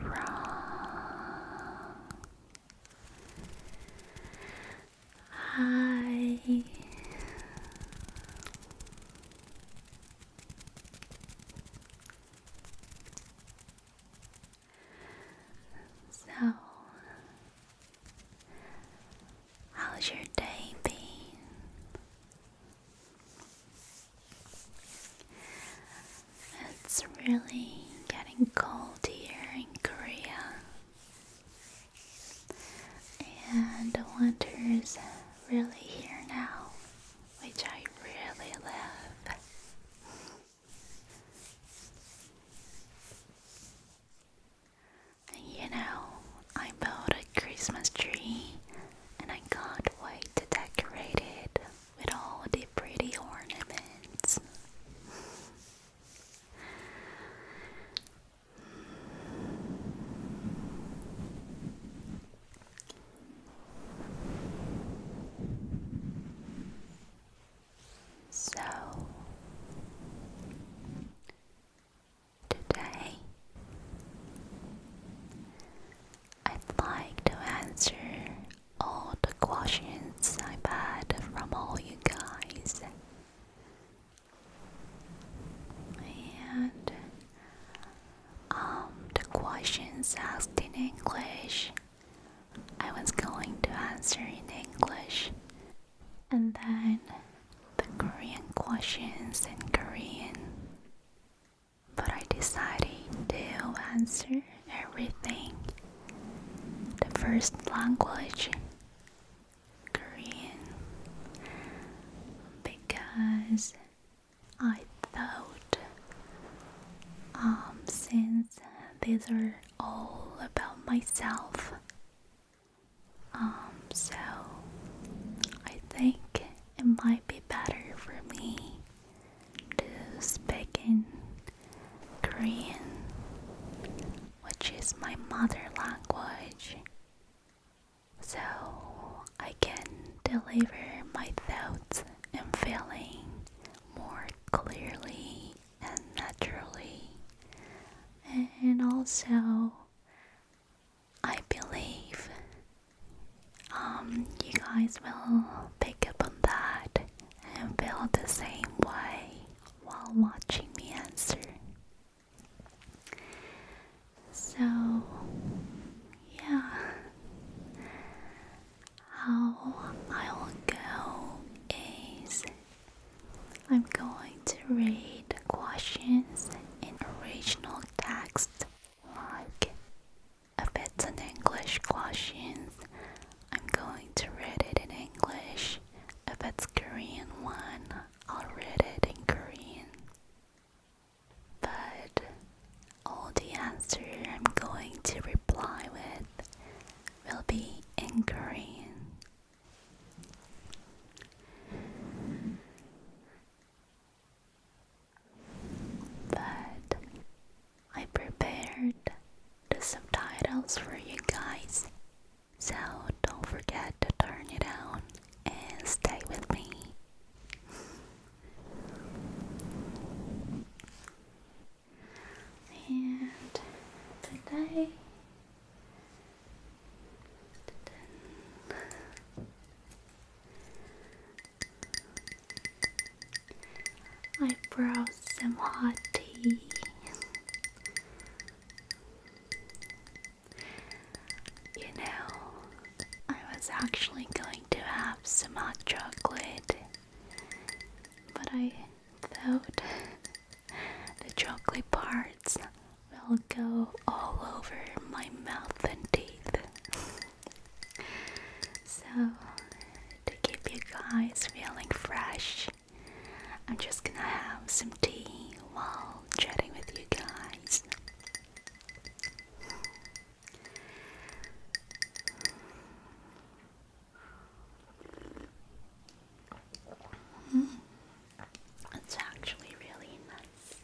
wrong. so, how's your day been? It's really getting cold here in Korea, and the winter is really here now, which I really love. You know, I bought a Christmas tree and I can't wait to decorate it with all the pretty ornaments. So today I'd like to answer all the questions I've had from all you guys. And um, the questions asked in English, I was going to answer in English. And then the Korean questions in Korean but I decided to answer everything. The first language, Korean, because I thought, um, since these are all about myself, um, so I think it might be better for me to speak in Korean, which is my mother language. So I can deliver my thoughts and feeling more clearly and naturally. And also, I believe um, you guys will pick up on that and feel the same way while watching me answer. So, yeah, how I will go is I'm going to read questions in original text like if it's an English question, I'm going to read it in English. If it's Korean one, I'll read it in Korean. But all the answer I'm going to reply with will be in Korean. But I prepared the subtitles for you guys, so don't forget to turn it on and stay with me. And today, I brew some hot tea. You know, I was actually going to have some hot chocolate, but I thought the chocolate parts will go all over my mouth and teeth. So, to keep you guys feeling fresh, I'm just gonna have some tea while chatting with you guys. Mm. It's actually really nice.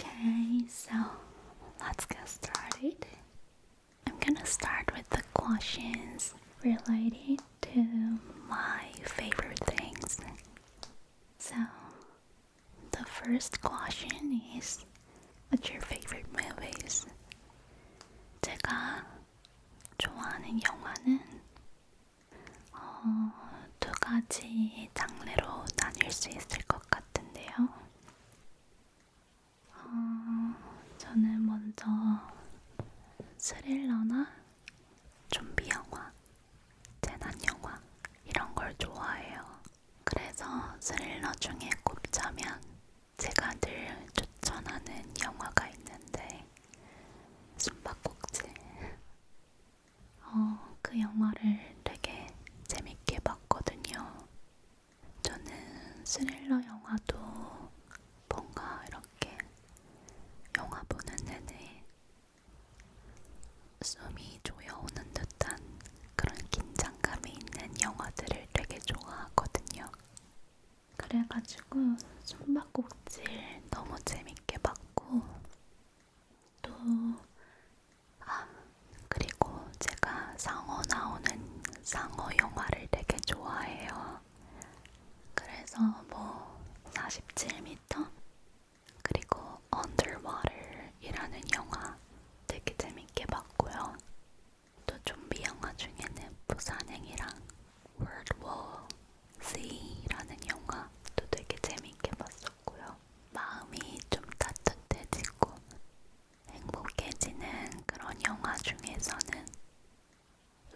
Okay, so let's get started. I'm gonna start with the questions related to my favorite things. So, the first question is What's your favorite movies? 제가 좋아하는 영화는 어, 두 가지 장르로 나뉠 수 있을 것 같은데요. 어, 저는 먼저 스릴러나 좀비 영화, 재난 영화 이런 걸 좋아해요. 그래서 스릴러 중에 꼽자면 제가 늘 추천하는 영화가 있는데 숨바꼭질 어, 그 영화를 되게 재밌게 봤거든요. 저는 스릴러 영화도 뭔가 이렇게 영화 보는 내내 숨이 조여오는 듯한 그런 긴장감이 있는 영화들을 되게 좋아하거든요. 그래가지고 숨바꼭질 너무 재밌게 봤고 또 아, 그리고 제가 상어 나오는 상어 영화를 되게 좋아해요. 그래서 뭐 47m 그리고 Underwater이라는 영화 되게 재밌게 봤고요. 또 좀비 영화 중에는 부산행이랑 World War Z라는 영화도 되게 재밌게 봤었고 같고요. 마음이 좀 따뜻해지고 행복해지는 그런 영화 중에서는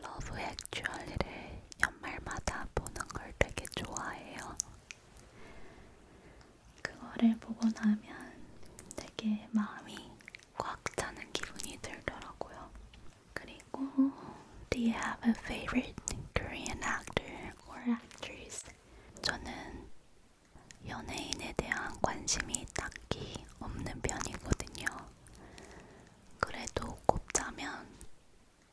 러브 액츄얼리를 연말마다 보는 걸 되게 좋아해요. 그거를 보고 나면 되게 마음이 꽉 차는 기분이 들더라고요. 그리고 Do you have a favorite Korean actor? or actors. 저는 연예인에 대한 관심이 딱히 없는 편이거든요. 그래도 꼽자면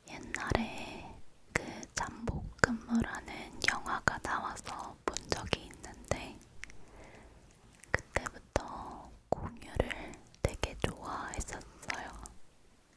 옛날에 그 잠복근무라는 영화가 나와서 본 적이 있는데 그때부터 공유를 되게 좋아했었어요.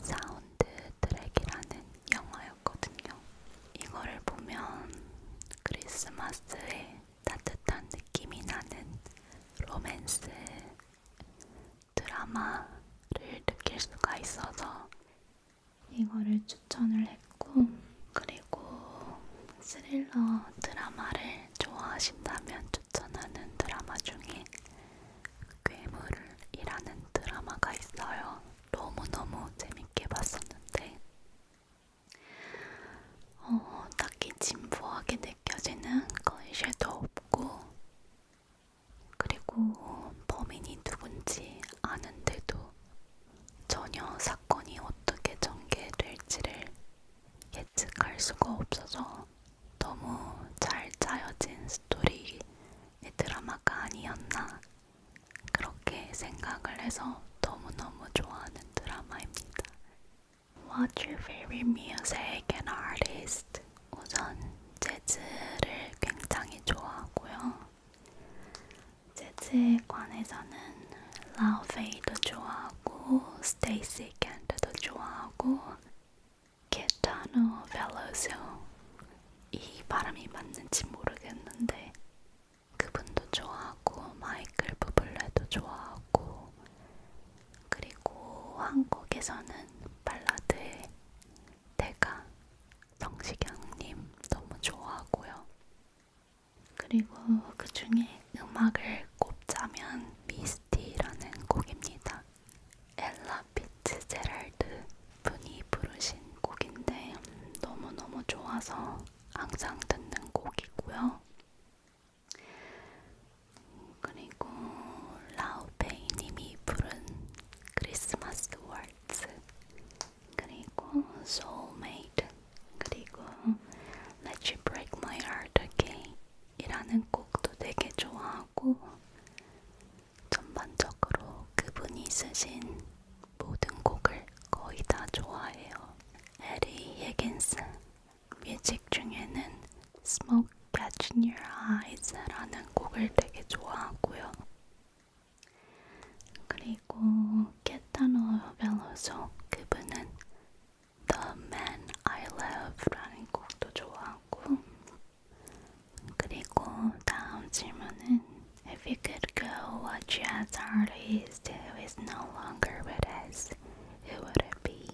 사운드 트랙이라는 영화였거든요. 이거를 보면 크리스마스에 따뜻한 느낌이 나는 로맨스 드라마를 느낄 수가 있어서 이거를 추천을 했고, 그리고 스릴러 드라마를 좋아하신다면 추천하는 드라마 중에 괴물이라는 드라마가 있어요. 너무너무 재밌게 봤었는데 어, 딱히 진부하게 느껴지는 컨셉도 없고 그리고 범인이 누군지 아는데도 전혀 사건이 어떻게 전개될지를 예측할 수가 없어서 너무 잘 짜여진 스토리 드라마가 아니었나 그렇게 생각을 해서 너무너무 좋아하는 드라마입니다. What's your favorite music and artist? 우선 재즈를 굉장히 좋아하고요. 재즈에 관해서는 라우페이도 좋아하고 스테이시 캔드도 좋아하고 케타노 벨로쇼 이 발음이 맞는지 모르겠는데 그분도 좋아하고 마이클 부블레도 좋아하고 그리고 한국에서는 발라드의 대가 성시경님 너무 좋아하고요. 그리고 그 중에 음악을 꼽자면 미스티라는 곡입니다. 엘라 피츠제랄드 분이 부르신 곡인데 너무너무 좋아서 항상 듣는 곡이고요. 그리고 라우페이님이 부른 크리스마스 월츠 그리고 소울메이트 그리고 Let You Break My Heart Again 이라는 곡도 되게 좋아하고 전반적으로 그분이 쓰신 모든 곡을 거의 다 좋아해요. 에리 히긴스 뮤직 중에는 Smoke Catching Your Eyes라는 곡을 되게 좋아하고요. 그리고 케타노 벨로소 그분은 The Man I Love라는 곡도 좋아하고 그리고 다음 질문은 If you could go, what jazz artist who is no longer with us, who would it be?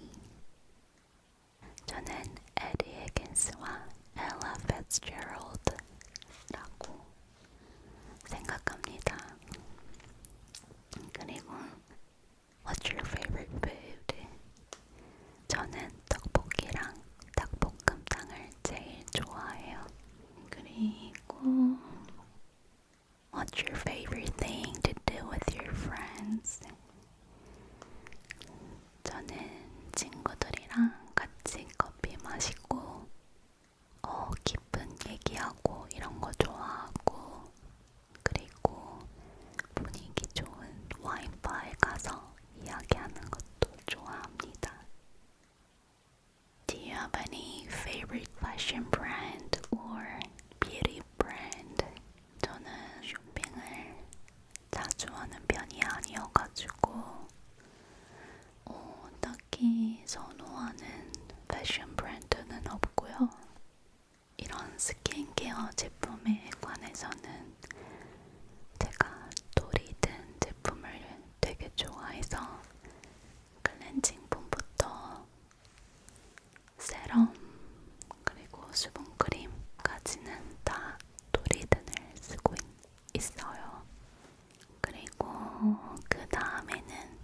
저는 에디 에긴스와 엘라 페츠제럴드라고 생각합니다. 그리고 What's your favorite food? 저는 떡볶이랑 닭볶음탕을 제일 좋아해요. 그리고 What's your favorite thing to do with your friends? 저는 친구들이랑 같이 커피 마시고 어, 기쁜 얘기하고 이런 거 좋아하고 그리고 분위기 좋은 와인바에 가서 이야기하는 것도 좋아합니다. Do you have any favorite fashion brand or beauty brand? 저는 쇼핑을 자주 하는 편이 아니어가지고 어, 딱히 선호하는 패션 브랜드는 없고요. 이런 스킨케어 제품에 관해서는 제가 돌이든 제품을 되게 좋아해서 클렌징 폼부터 세럼 그리고 수분크림까지는 다 돌이든을 쓰고 있어요. 그리고 그 다음에는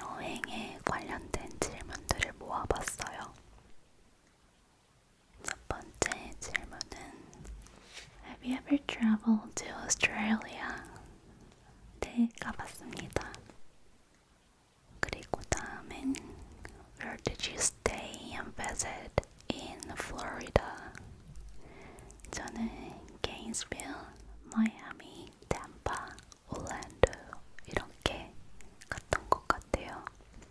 여행에 관련된 질문들을 모아봤어요. 첫 번째 질문은 Have you ever traveled to Australia? 네, 가봤습니다. 그리고 다음엔 Where did you stay and visit in Florida? 저는 Gainesville, 마이애미, 템파, 올랜도 이렇게 갔던 것 같아요.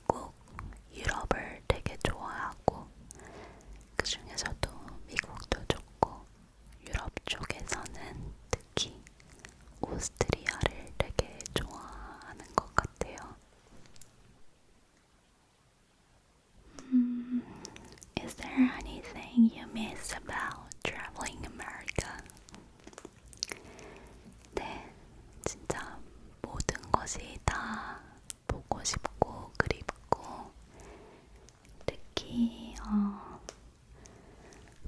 미국, 유럽을 되게 좋아하고 그 중에서도 미국도 좋고 유럽 쪽에서는 특히 오스트리아를 되게 좋아하는 것 같아요. Mm, is there anything you miss about traveling America? 네, 진짜 모든 것이 다 보고 싶고 그립고 특히 어,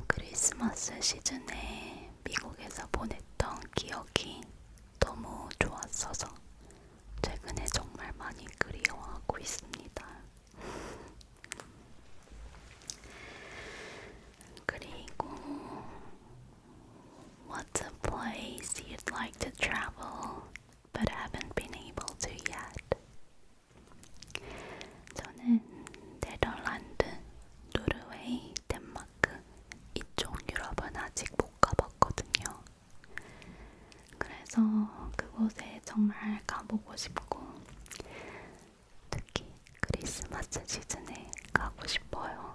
크리스마스 시즌에 미국에서 보냈던 기억이 너무 좋았어서 최근에 정말 많이 그리워하고 있습니다. 그리고 What's a place you'd like to travel but haven't been able to yet. 저는 네덜란드, 노르웨이, 덴마크 이쪽 유럽은 아직 못 가봤거든요. 그래서 그곳에 정말 가보고 싶고 특히 크리스마스 시즌에 가고 싶어요.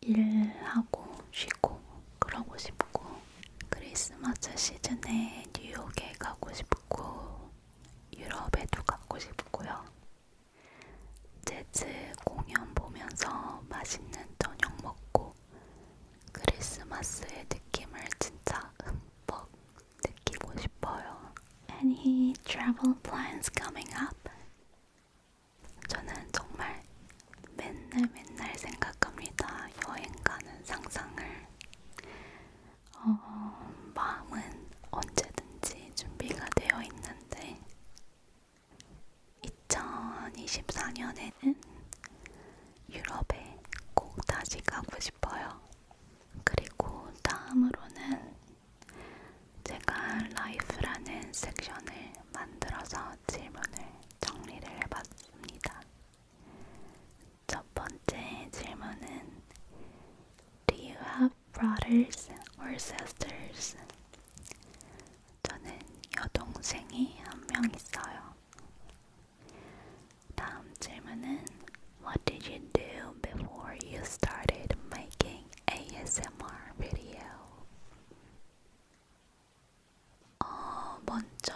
일하고 쉬고 그러고 싶고 크리스마스 시즌에 뉴욕에 가고 싶고 유럽에도 가고 싶고요. 재즈 공연 보면서 맛있는 저녁 먹고 크리스마스의 느낌을 진짜 흠뻑 느끼고 싶어요. Any travel plans coming up? 저는 정말 맨날 맨날 생각합니다. 여행 가는 상상을. 어, 마음은 언제든지 준비가 되어 있는데 2024년에는 유럽에 꼭 다시 가고 싶어요. 그리고 다음으로는 제가 라이프라는 섹션을 만들어서 질문을 정리를 해봤습니다. 첫 번째 질문은 Do you have brothers or sisters? 저는 여동생이 한 명 있어요. 다음 질문은 What did you do before you started making ASMR video? 어, 먼저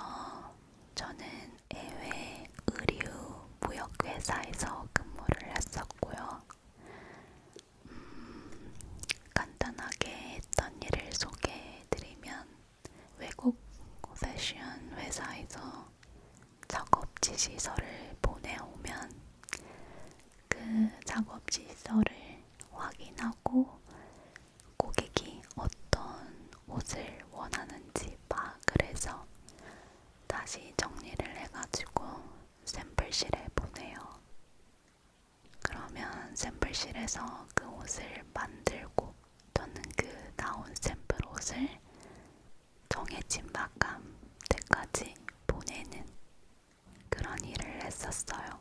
저는 해외 의류 무역회사에서 근무를 했었고요. 음, 간단하게 했던 일을 소개해드리면 외국 패션 회사에서 작업 지시서를 보내오면 그 작업 질서를 확인하고 고객이 어떤 옷을 원하는지 파악을 해서 다시 정리를 해가지고 샘플실에 보내요. 그러면 샘플실에서 그 옷을 만들고 또는 그 나온 샘플 옷을 정해진 마감 때까지 보내는 그런 일을 했었어요.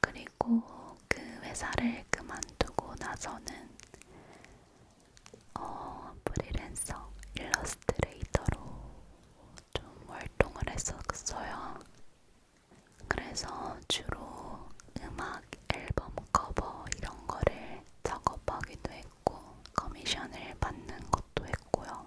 그리고 그 회사를 그만두고 나서는 어, 프리랜서 일러스트레이터로 좀 활동을 했었어요. 그래서 주로 음악 앨범 커버 이런 거를 작업하기도 했고 커미션을 받는 것도 했고요.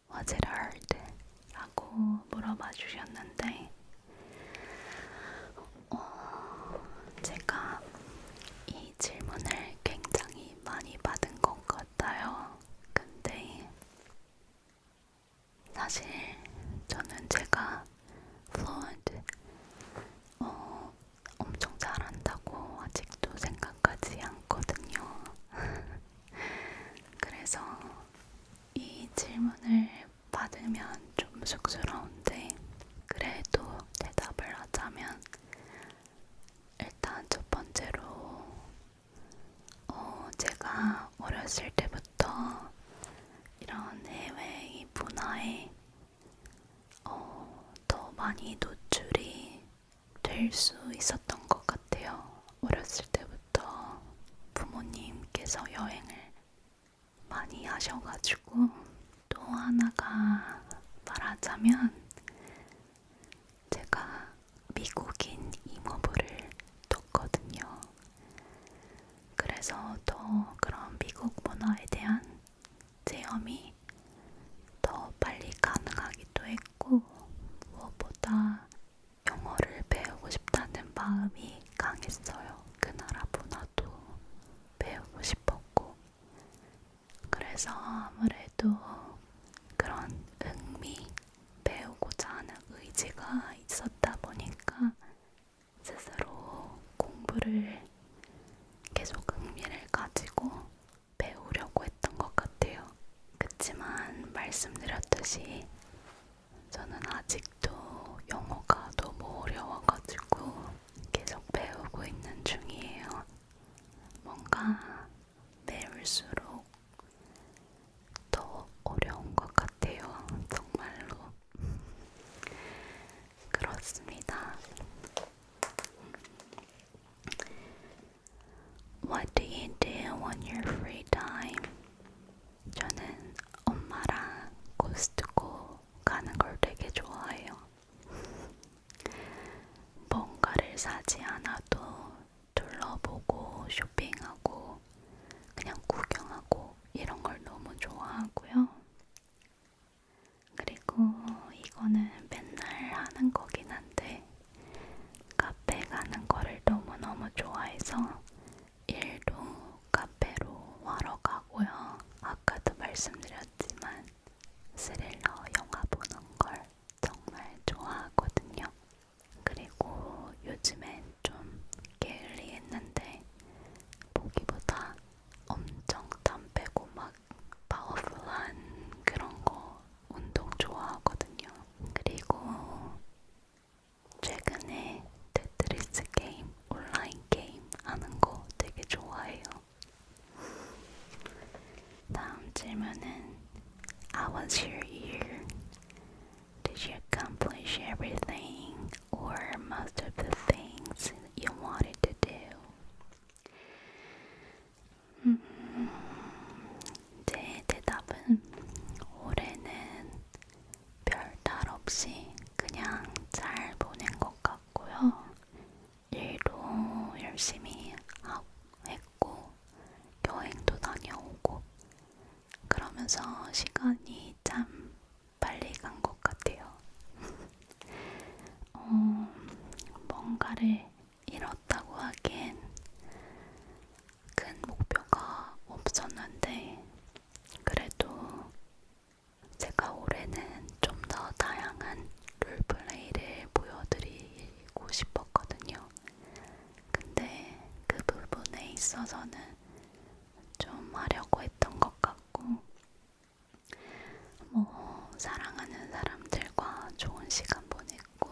Was it hard? 라고 물어봐 주셨는데 어, 제가 이 질문을 굉장히 많이 받은 것 같아요. 근데 사실 저는 제가 fluent 어, 엄청 잘한다고 아직도 생각하지 않거든요. 그래서 이 질문을 받으면 좀 쑥스러운데 그래도 대답을 하자면 일단 첫 번째로 어, 제가 어렸을 때부터 이런 해외의 문화에 어, 더 많이 노출이 될 수 있었던 것 같아요. 어렸을 때부터 부모님께서 여행을 많이 하셔가지고 또 하나가 말하자면 제가 미국인 이모부를 뒀거든요. 그래서 더 그런 미국 문화에 대한 체험이 더 빨리 가능하기도 했고 무엇보다 영어를 배우고 싶다는 마음이 강했어요. 그 나라 문화도 배우고 싶었고, 그래서 아무래도 그런 흥미, 배우고자 하는 의지가 있었다 보니까 스스로 공부를 계속 흥미를 가지고 배우려고 했던 것 같아요. 그치만 말씀드렸듯이 저는 아직도 영어가 너무 어려워가지고 계속 배우고 있는 중이에요. 뭔가 배울수록 더 어려운 것 같아요. 정말로. 그렇습니다. What do you do on your free time? 저는 엄마랑 코스트코 가는 걸 되게 좋아해요. 뭔가를 사지 않아도 둘러보고 쇼핑하고 그냥 구경하고 이런 걸 너무 좋아하고요. 그리고 이거는 맨날 하는 거긴 한데 카페 가는 거를 너무너무 좋아해서 일도 카페로 하러 가고요. 아까도 말씀드렸지만 스릴러 영화 보는 걸 정말 좋아하거든요. 그리고 요즘엔 좀 게을리했는데 보기보다 엄청 담배고 막 파워풀한 그런 거 운동 좋아하거든요. 그리고 최근에 테트리스 게임, 온라인 게임 하는 거 되게 좋아해요. 다음 질문은 I was your year. Did you accomplish everything or most of the things you wanted to do? 제 대답은 올해는 별탈 없이 그냥 잘 보낸 것 같고요. 일도 열심히 하고 했고, 여행도 다녀오고, 그러면서 시간이 참 빨리 간 것 같아요. 어, 뭔가를 잃었다고 하기엔 큰 목표가 없었는데, 그래도 제가 올해는 좀 더 다양한 롤플레이를 보여드리고 싶었거든요. 근데 그 부분에 있어서는 좀 하려고 했던 것 같고, 뭐, 사랑하는 사람들과 좋은 시간 보냈고,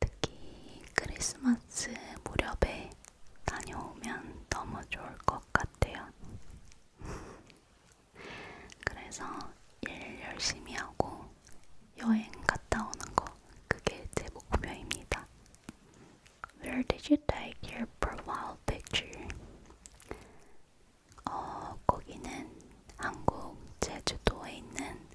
특히 크리스마스 무렵에 다녀오면 너무 좋을 것 같아요. 그래서 일 열심히 하고 여행 갔다 오는 거 그게 제 목표입니다. Where did you take your profile picture? 어, 거기는 한국 제주도에 있는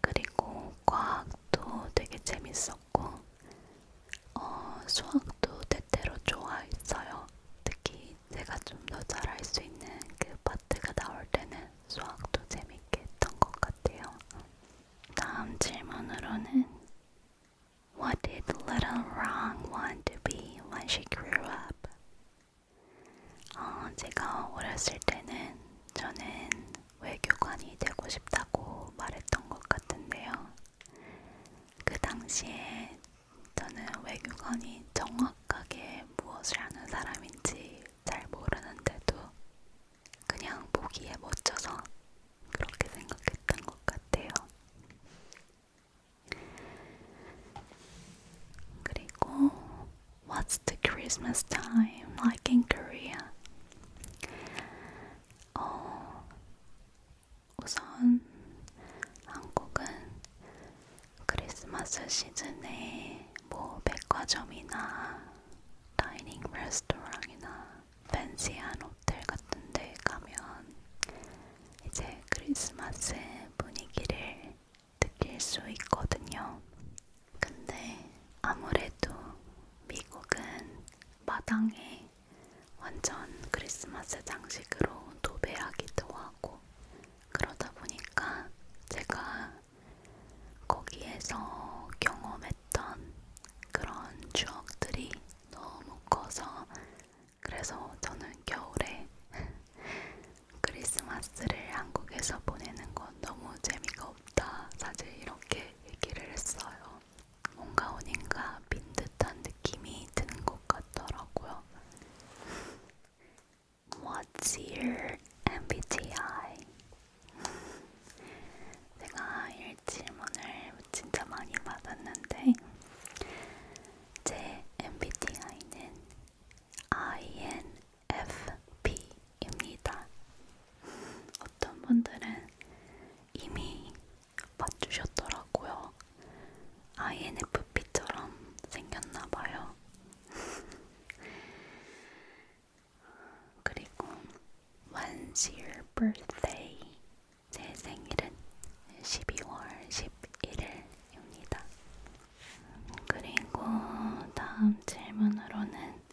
그리고 과학도 되게 재밌었고 어, 수학도 때때로 좋아했어요. 특히 제가 좀 더 잘할 수 있는 그 파트가 나올 때는 수학도 재밌게 했던 것 같아요. 다음 질문으로는 What did little Wrong want to be when she grew up? 어, 제가 어렸을 때는 저는 외교관이 되고 싶다고 말했던 것 같은데요. 그 당시에 저는 외교관이 정확하게 무엇을 하는 사람인지 잘 모르는데도 그냥 보기에 멋져서 그렇게 생각했던 것 같아요. 그리고 What's the Christmas time like in Korea? 어, 우선 한국은 크리스마스 시즌에 뭐 백화점이나 다이닝 레스토랑이나 팬시한 호텔 같은 데 가면 이제 크리스마스 분위기를 느낄 수 있거든요. 근데 아무래도 미국은 마당에 완전 크리스마스 장식으로 도배하기도 하고 그러다 보니까 제가 거기에서 경험했던 그런 추억들이 너무 커서 그래서 저는 겨울에 크리스마스를 한국에서 보내는 건 너무 재미가 없다. 사실 이렇게 얘기를 했어요. 뭔가 어딘가 빈 듯한 느낌이 드는 것 같더라고요. What's your MBTI? 제가 이 질문을 진짜 많이 받았는데 제 MBTI는 INFP 입니다. 어떤 분들은 이미 맞추셨더라고요. INFP처럼 생겼나봐요. 그리고 When's your birthday? 제 생일은 12월 11일입니다. 그리고 다음 질문으로는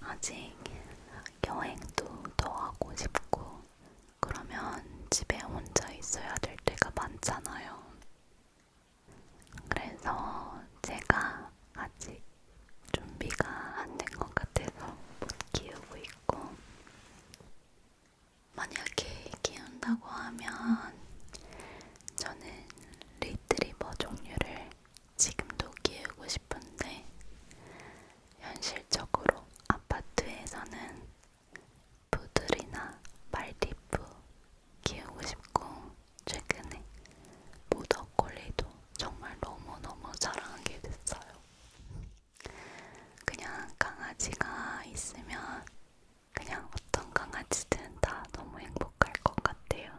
아직 여행도 더 하고 싶고 그러면 집에 혼자 있어야 될 때가 많잖아요. 그래서 제가 아직 준비가 안 된 것 같아서 못 키우고 있고 만약에 키운다고 하면 저는 리트리버 종류를 지금도 키우고 싶은데 현실적으로 아파트에서는 푸들이나 말디프 키우고 싶고 최근에 모더콜리도 정말 너무너무 사랑하게 됐어요. 그냥 강아지가 있으면 그냥 어떤 강아지든 다 너무 행복할 것 같아요.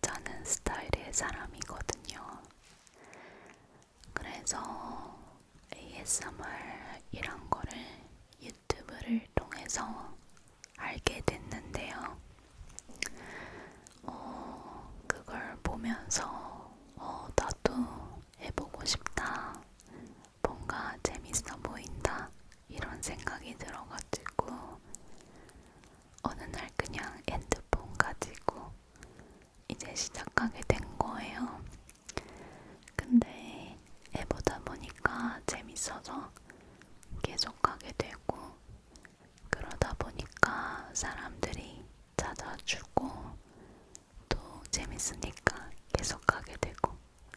자는 스타일의 사람이거든요. 그래서 ASMR이란 거를 유튜브를 통해서 알게 됐는데요. 어, 그걸 보면서 어, 나도 해보고 싶다. 뭔가 재밌어 보인다. 이런 생각이 들어가지고 어느 날 그냥 핸드폰 가지고 이제 시작하게 된 거예요. 근데 해보다 보니까 재밌어서 계속하게 되고 그러다 보니까 사람들이 찾아주고 또 재밌으니까 계속하게 되고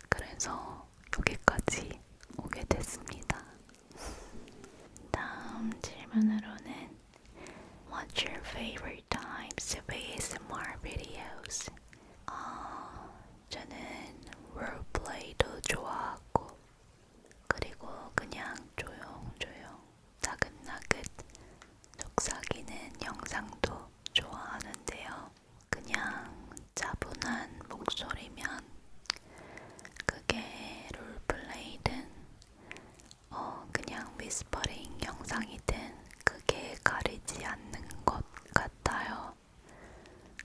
그래서 여기까지 오게 됐습니다. 다음 질문으로는 What's your favorite types of ASMR videos? 어, 저는 롤플레이도 좋아하고 그리고 그냥 조용조용 나긋나긋 속삭이는 영상도 좋아하는데요. 그냥 차분한 목소리면 그게 롤플레이든 어, 그냥 위스퍼링 영상이든 크게 가리지 않는 것 같아요.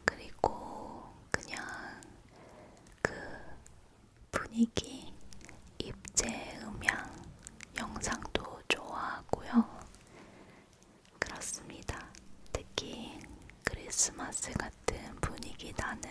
그리고 그냥 그 분위기, 입체 음향 영상도 좋아하고요. 그렇습니다. 특히 크리스마스 같은 분위기 나는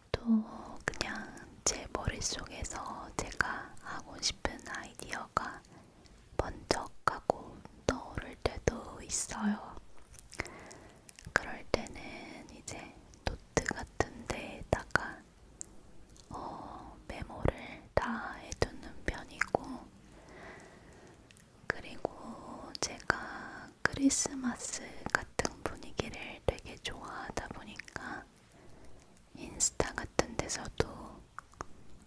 또 그냥 제 머릿속에서 제가 하고 싶은 아이디어가 번쩍하고 떠오를 때도 있어요. 그럴 때는 이제 노트 같은 데에다가 어, 메모를 다 해두는 편이고, 그리고 제가 크리스마스 같은 분위기를 되게 좋아하다 보니까 인스타 같은 데서도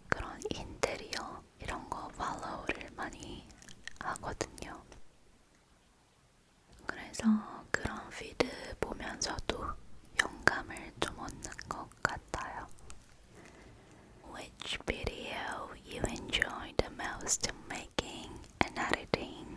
그런 인테리어 이런 거 팔로우를 많이 하거든요. 그래서 그런 피드 보면서도 영감을 좀 얻는 것 같아요. Which video you enjoy the most making and editing?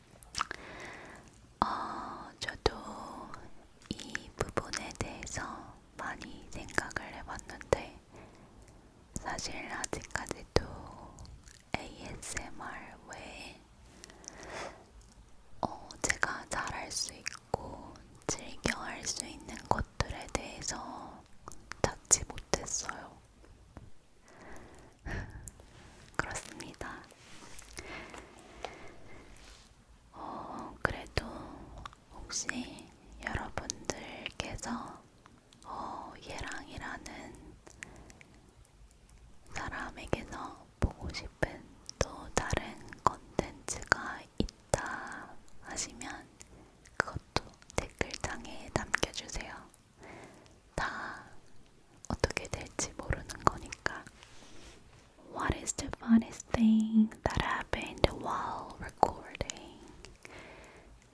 어, 저도 이 부분에 대해서 많이 생각을 해봤는데, 사실 아직까지도 ASMR 외에 어, 제가 잘할 수 있고 즐겨 할 수 있는 것들에 대해서 찾지 못했어요. 그렇습니다. 어, 그래도 혹시 여러분들께서 어, 예랑이라는 사람에게서 보고 싶은 또 다른 컨텐츠가 있다 하시면 그것도 댓글창에 남겨주세요. 다 어떻게 될지 모르는 거니까. What is the funniest thing that happened while recording?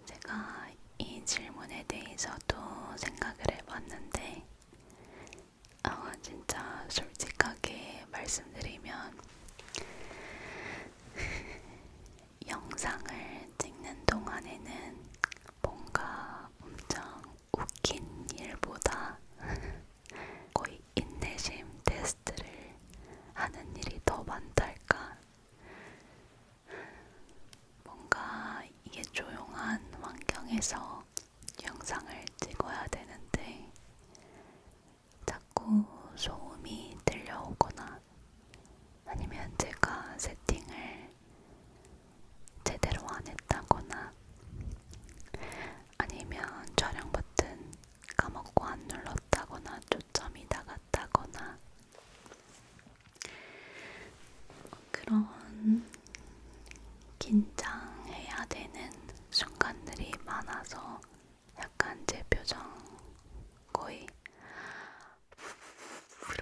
제가 이 질문에 대해서도 생각을 해봤는데, 아, 진짜 솔직하게 말씀드리면, 영상을 찍는 동안에는 뭔가 엄청 웃긴 일보다 거의 인내심 테스트를 하는 일이 더 많달까. 뭔가 이게 조용한 환경에서 영상을 찍어야 되는데 자꾸 소음이 들려오거나 아니면 제가 세팅을 제대로 안 했다거나 아니면 촬영 버튼 까먹고 안 눌렀다거나 초점이 나갔다거나 그런 긴장해야 되는 순간들이 많아서 약간 제 표정 거의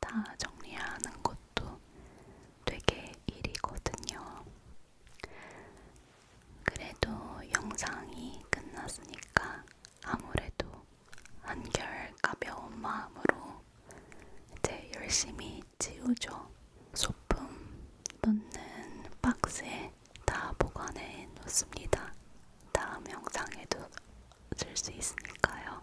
다 정리하는 것도 되게 일이거든요. 그래도 영상이 끝났으니까 아무래도 한결 가벼운 마음으로 이제 열심히 지우죠. 소품 넣는 박스에 다 보관해 놓습니다. 다음 영상에도 쓸 수 있으니까요.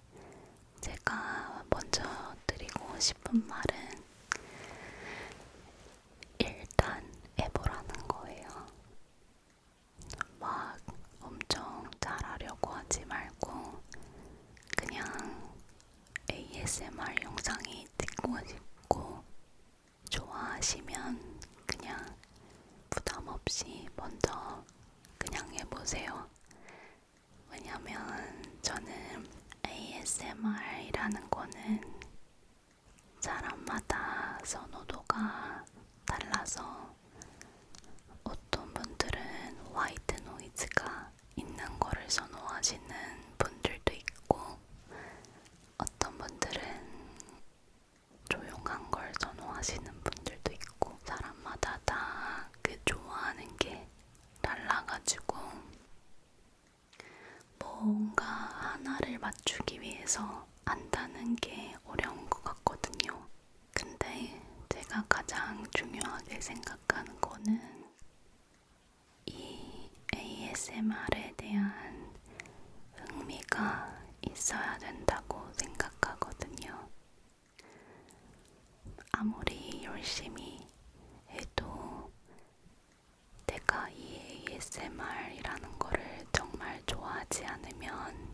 제가 먼저 드리고 싶은 말은 일단 해보라는 거예요. 막 엄청 잘하려고 하지 말고 그냥 ASMR 영상이 찍고 싶고 좋아하시면 그냥 부담 없이 먼저 그냥 해보세요. 왜냐면 저는 ASMR이라는 거는 사람마다 선호도가 달라서 어떤 분들은 화이트 노이즈가 있는 거를 선호하시는 분들도 있고 어떤 분들은 조용한 걸 선호하시는 분들도 있고 사람마다 다 그 좋아하는 게 달라가지고 뭔가 하나를 맞추기 위해서 안다는 게 어려운 것 같거든요. 근데 제가 가장 중요하게 생각하는 거는 이 ASMR에 대한 흥미가 있어야 된다고 생각하거든요. 아무리 열심히 해도 내가 이 ASMR이라는 거를 정말 좋아하지 않으면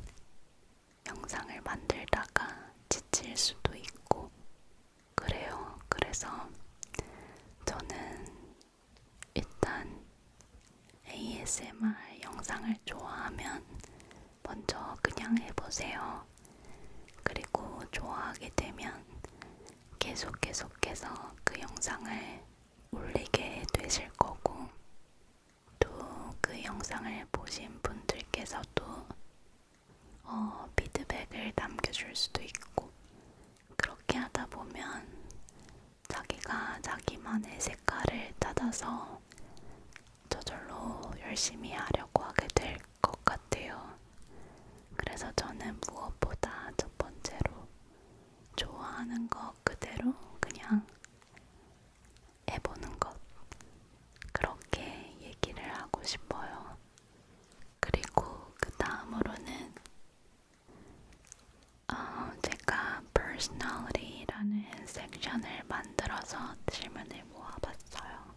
영상을 만들다가 지칠 수도 있고 그래요. 그래서 저는 일단 ASMR 영상을 좋아하면 먼저 그냥 해보세요. 그리고 좋아하게 되면 계속 계속해서 그 영상을 올리게 되실 거고, 또 그 영상을 보신 분들께서도 어, 피드백을 남겨줄 수도 있고, 그렇게 하다 보면 자기가 자기만의 색깔을 찾아서 저절로 열심히 하려고 하게 될 것 같아요. 그래서 저는 무엇보다 첫 번째로 좋아하는 것 그대로 그냥 해보는 것. 그렇게 얘기를 하고 싶어요. 그리고 그 다음으로는 어, 제가 personality라는 섹션을 만들어서 질문을 모아봤어요.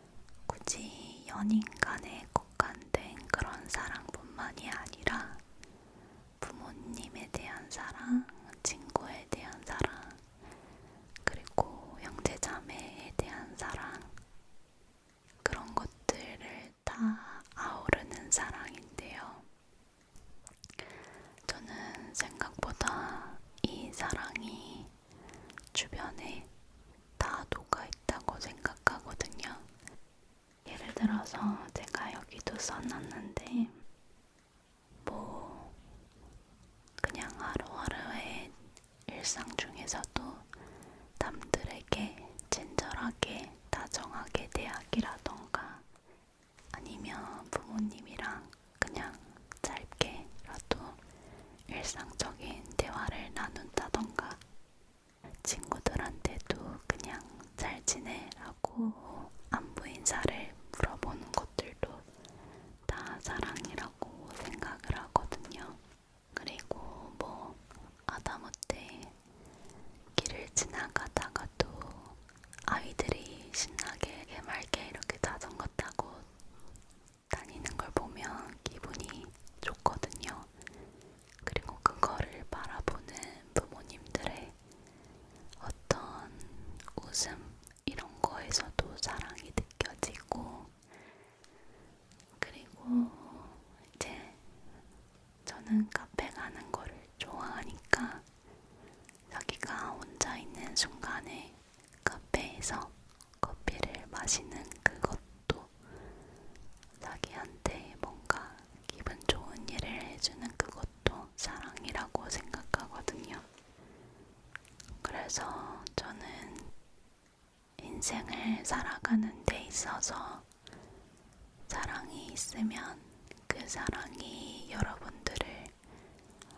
굳이 연인간에 국한된 그런 사랑뿐만이 아니라 부모님에 대한 사랑, 친구에 대한 사랑, 그리고 형제자매에 대한 사랑 그런 것들을 다 아우르는 사랑인데요. 저는 생각보다 이 사랑이 주변에 다 녹아 있다고 생각하거든요. 예를 들어서 제가 여기도 써놨는데, 뭐, 그냥 하루하루의 일상 중에서도 남들에게 친절하게 다정하게 대하기라던가 아니면 부모님이랑 그냥 짧게라도 일상적인 대화를 나눈다던가 친구들한테도 그냥 잘 지내라고 안부 인사를 물어보는 것들도 다 사랑이라고 생각을 하거든요. 그리고 뭐 아다못해 길을 지나가다가도 아이들이 신나게 개맑게 이렇게 자전거 타고 다니는 걸 보면 기분이 좋거든요. 그리고 그거를 바라보는 부모님들의 어떤 웃음 이런 거에서도 사랑이 느껴지고 그리고 이제 저는 카페 가는 거를 좋아하니까 자기가 혼자 있는 순간에 카페에서 커피를 마시는 그것도 자기한테 뭔가 기분 좋은 일을 해주는 그것도 사랑이라고 생각하거든요. 그래서 저는 인생을 살아가는 데 있어서 사랑이 있으면 그 사랑이 여러분들을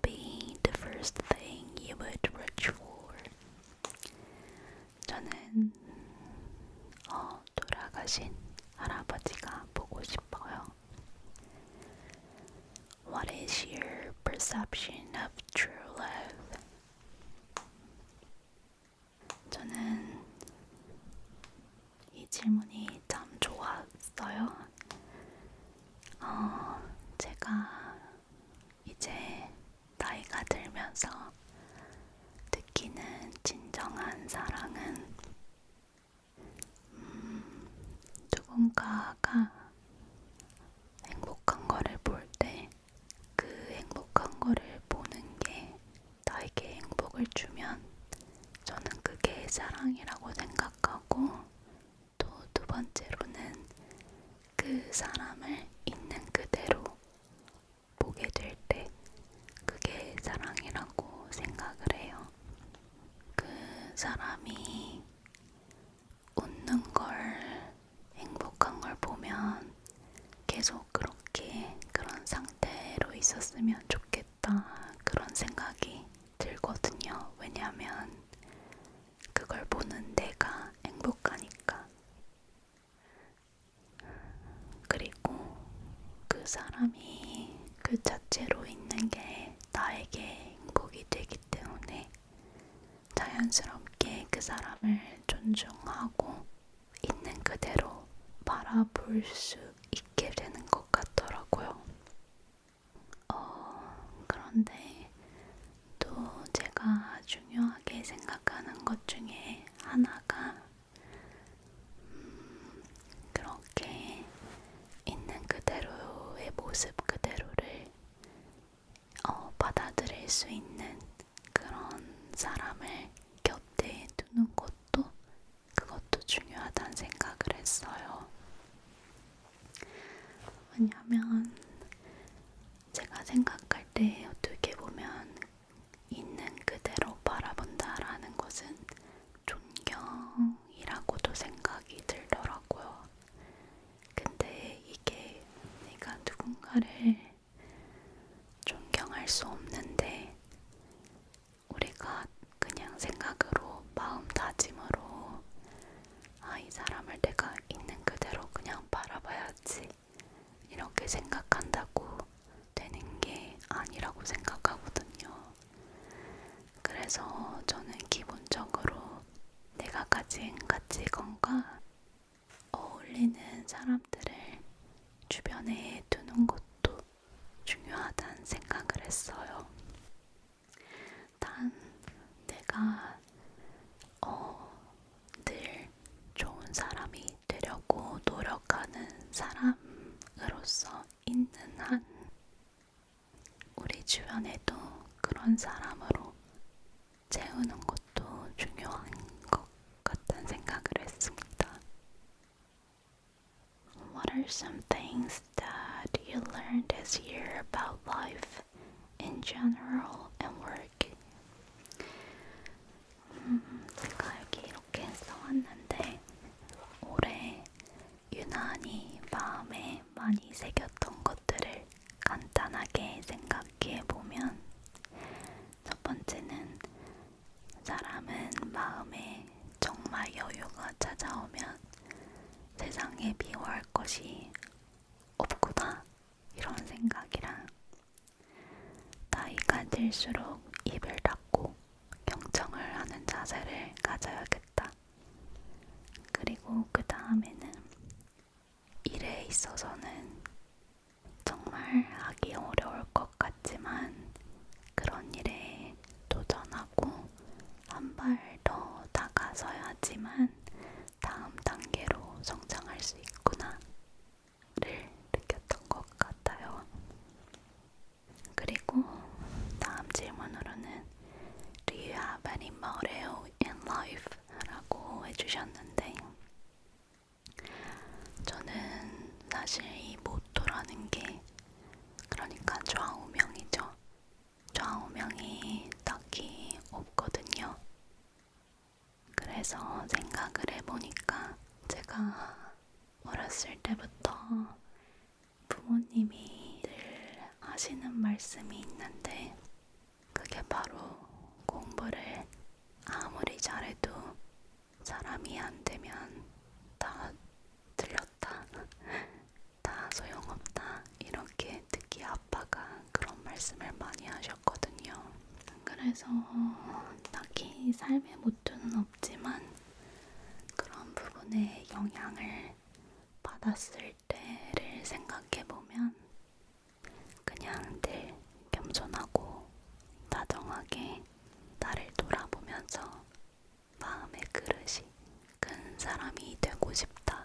be the first thing you would reach for? 저는 돌아가신 할아버지가 보고 싶어요. What is your perception of true love? 저는 이 질문이 참 좋았어요. 어, 제가 이제 나이가 들면서 느끼는 진정한 사랑은 음, 누군가가 행복한 거를 볼 때 그 행복한 거를 보는 게 나에게 행복을 주면 저는 그게 사랑이라고 생각하고 또두 번째로는 그 사람을 있는 그대로 보게 될 때 그게 사랑이라고 생각을 해요. 그 사람이 웃는 걸, 행복한 걸 보면 계속 그렇게 그런 상태로 있었으면 좋겠다 그런 생각이 들거든요. 왜냐하면 그걸 보는 내가 행복하니까. 그리고 그 사람이 그 자체로 있는 게 나에게 행복이 되기 때문에 자연스럽게 그 사람을 존중하고 있는 그대로 바라볼 수 있게 되는 것 같더라고요. 어, 그런데 또 제가 중요하게 생각하는 것 중에 하나가 음, 그렇게 있는 그대로의 모습 그대로를 어, 받아들일 수 있는 그런 사람을 곁에 두는 것도 그것도 중요하다는 생각을 했어요. 왜냐하면 제가 생각할 때 어떻게 보면 있는 그대로 바라본다라는 것은 존경이라고도 생각이 들더라고요. 근데 이게 내가 누군가를 존경할 수 없는데 우리가 그냥 생각으로 마음다짐으로 아, 이 사람을 내가 있는 그대로 그냥 바라봐야지. 이렇게 생각한다고 되는 게 아니라고 생각하거든요. 그래서 저는 기본적으로 내가 가진 가치관과 어울리는 사람들을 주변에 두는 것도 중요하다는 생각을 했어요. 단 내가 어, 늘 좋은 사람이 되려고 노력하는 사람으로서 있는 한 우리 주변에도 그런 사람으로 채우는 것도 중요한 것 같다는 생각을 했습니다. What are some things that you learned this year about life? in general and work. 음, 제가 여기 이렇게 써왔는데 올해 유난히 마음에 많이 새겼던 것들을 간단하게 생각해 보면 첫 번째는 사람은 마음에 정말 여유가 찾아오면 세상에 미워할 것이 없구나 이런 생각이랑 나이가 들수록 입을 닫고 경청을 하는 자세를 가져야겠다. 그리고 그 다음에는 일에 있어서는 정말 하기 어려울 것 같지만 그런 일에 도전하고 한 발 더 나가서야지만 다음 단계로 성장할 수 있구나를 느꼈던 것 같아요. 그리고 다음 질문으로는 Do you have any motto in life? 라고 해주셨는데 저는 사실 이 모토라는 게 그러니까 좌우명이죠. 좌우명이 딱히 없거든요. 그래서 생각을 해보니까 제가 어렸을 때부터 부모님이 늘 하시는 말씀이 있는데 그게 바로 공부를 아무리 잘해도 사람이 안 되면 다 들렸다 다 소용없다 이렇게 특히 아빠가 그런 말씀을 많이 하셨거든요. 그래서 딱히 삶의 모토는 없지만 그런 부분에 영향을 받았을 때를 생각해 보면 그냥 늘 겸손하고 다정하게 나를 돌아보면서 마음의 그릇이 큰 사람이 되고 싶다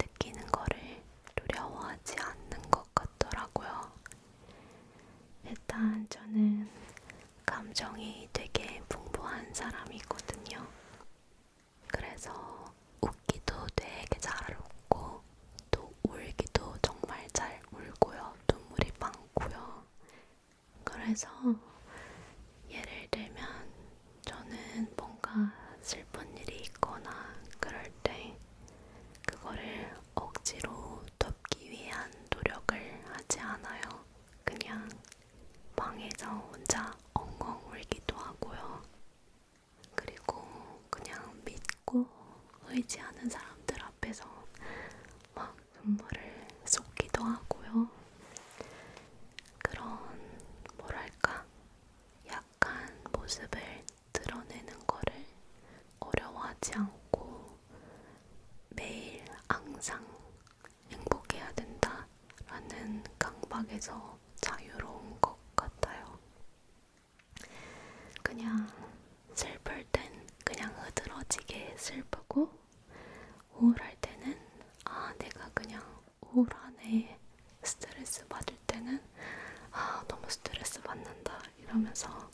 느끼는 거를 두려워하지 않는 것 같더라고요. 일단 저는 감정이 되게 풍부한 사람이거든요. 그래서 웃기도 되게 잘 웃고 또 울기도 정말 잘 울고요. 눈물이 많고요. 그래서 예를 들면 저는 뭔가 슬픈 일이 있거나 그럴 때 그거를 억지로 덮기 위한 노력을 하지 않아요. 그냥 방에서 혼자 엉엉 울기도 하고요. 그리고 그냥 믿고 의지하는 사람들 앞에서 막 눈물을 쏟기도 하고요. 그런 뭐랄까 약간 모습을 드러내는 거를 어려워하지 않고 매일 항상 행복해야 된다라는 강박에서 자유로운 것 같아요. 그냥 슬플 땐 그냥 흐드러지게 슬프고 우울할 때는 아 내가 그냥 우울하네 스트레스 받을 때는 아 너무 스트레스 받는다 이러면서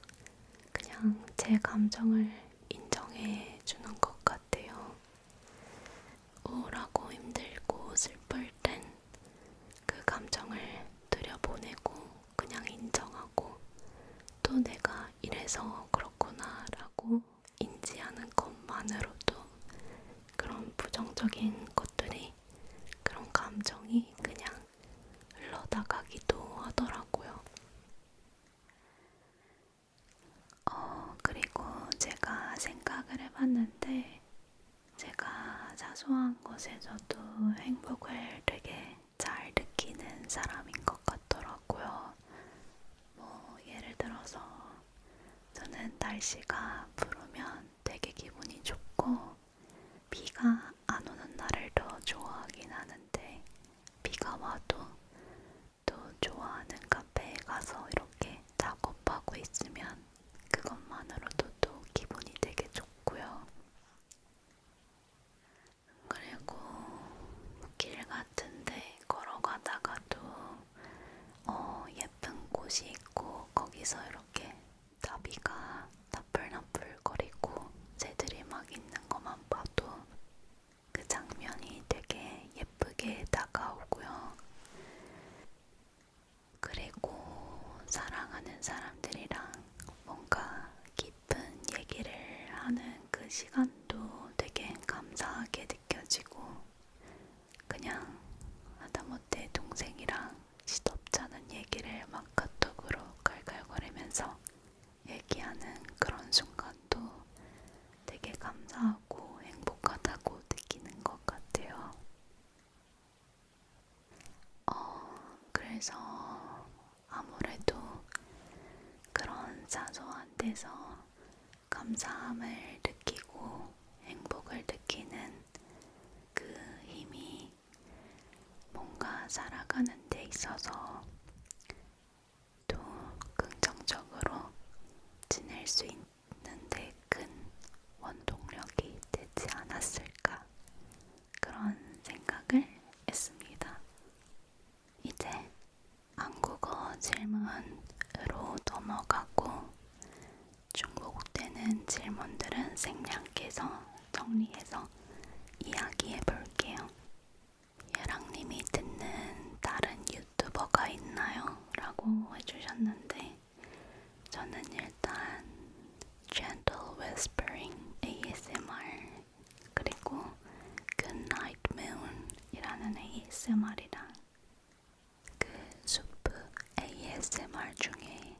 그냥 제 감정을 인정해 주는 것 같아요. 우울하고 힘들고 슬플 땐 그 감정을 들여보내고 그냥 인정하고 또 내가 이래서 그렇구나라고 인지하는 것만으로도 그런 부정적인 것들이 그런 감정이 그냥 흘러나가기도 하더라고요. 어, 그리고 제가 생각을 해봤는데, 제가 사소한 것에서도 행복을 되게 잘 느끼는 사람인 것 같더라고요. 뭐, 예를 들어서, 저는 날씨가 푸르면 되게 기분이 좋고, 비가 안 오는 날을 더 좋아하긴 하는데 비가 와도 또 좋아하는 카페에 가서 이렇게 작업하고 있으면 그것만으로도 또 기분이 되게 좋고요. 그리고 길 같은데 걸어가다가도 어, 예쁜 곳이 있고 거기서 이렇게 나비가 나풀나풀거리고 새들이 막 있는 것만 봐도 그 장면이 되게 예쁘게 다가오고요. 그리고 사랑하는 사람들이랑 뭔가 깊은 얘기를 하는 그 시간도 되게 감사하게 느껴지고 그냥 하다못해 동생이랑 시덥잖은 얘기를 막 카톡으로 깔깔거리면서 얘기하는 그런 순간도 되게 감사하고 행복하다고 느끼는 것 같아요. 어, 그래서 아무래도 그런 사소한 데서 감사함을 느끼고 행복을 느끼는 그 힘이 뭔가 살아가는 데 있어서 또 긍정적으로 지낼 수 있는데 큰 원동력이 되지 않았을까 그런 생각을 했습니다. 이제 한국어 질문으로 넘어가고 중국되는 질문들은 생략해서 정리해서 이야기해 볼게요. 예랑님이 듣는 다른 유튜버가 있나요? 라고 해주셨는데 저는 일단 Gentle Whispering ASMR 그리고 Goodnight Moon 이라는 ASMR이랑 그 수프 ASMR 중에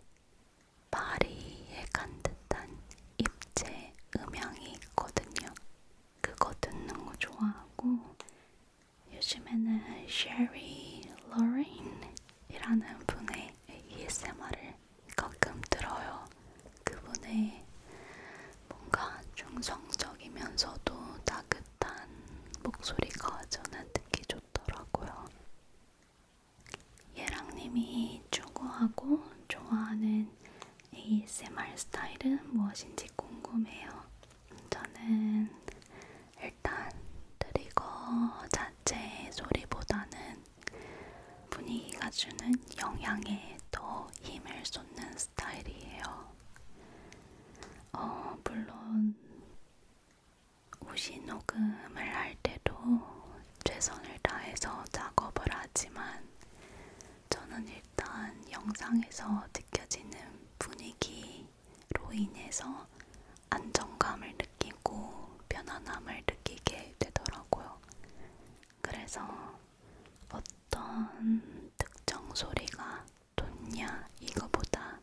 파리에 간 듯한 입체 음향이 있거든요. 그거 듣는 거 좋아하고 요즘에는 쉐리 로렌이라는 분의 ASMR을 가끔 들어요. 그분의 뭔가 중성적이면서도 따뜻한 목소리가 저는 듣기 좋더라고요. 예랑님이 추구하고 좋아하는 ASMR 스타일은 무엇인지 궁금해요. 저는 일단 트리거 자체의 소리보다는 분위기가 주는 영향에 더 힘을 쏟는 스타일이에요. 어, 물론 옷이 녹음을 할 때도 최선을 다해서 작업을 하지만 저는 일단 영상에서 느껴지는 분위기로 인해서 안정감을 느끼고 편안함을 느끼게 되더라고요. 그래서 어떤 특정 소리가 돋냐 이거보다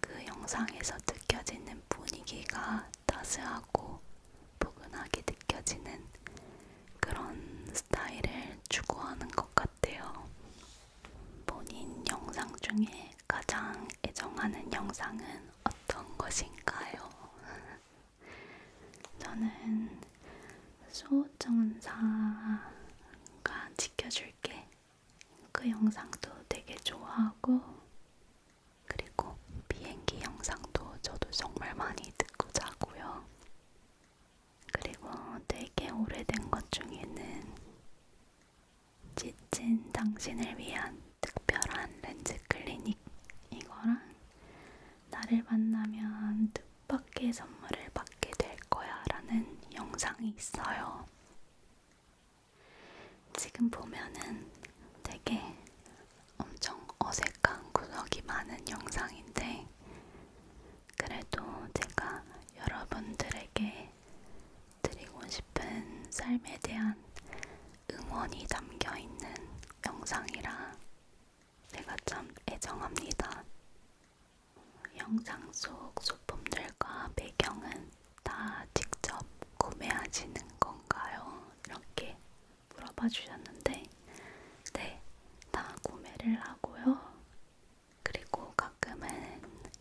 그 영상에서 느껴지는 분위기가 따스하고 포근하게 느껴지는 그런 스타일을 추구하는 것 같아요. 본인 영상 중에 가장 애정하는 영상은 어떤 것인가요? 저는 소호정사가 지켜줄게 그 영상도 되게 좋아하고 그리고 비행기 영상도 저도 정말 많이 듣고 자고요. 그리고 되게 오래된 것 중에는 지친 당신을 위한 특별한 렌즈 클리닉 이거랑 나를 만나면 뜻밖의 선물을 받게 될 거야 라는 영상이 있어요. 지금 보면은 되게 엄청 어색한 구석이 많은 영상인데, 그래도 제가 여러분들에게 드리고 싶은 삶에 대한 응원이 담겨 있는 영상이라 제가 참 애정합니다. 영상 속 소품들과 배경은 다 직접 구매하시는 건가요? 이렇게 물어봐 주셨는데, 네, 다 구매를 하고요. 그리고 가끔은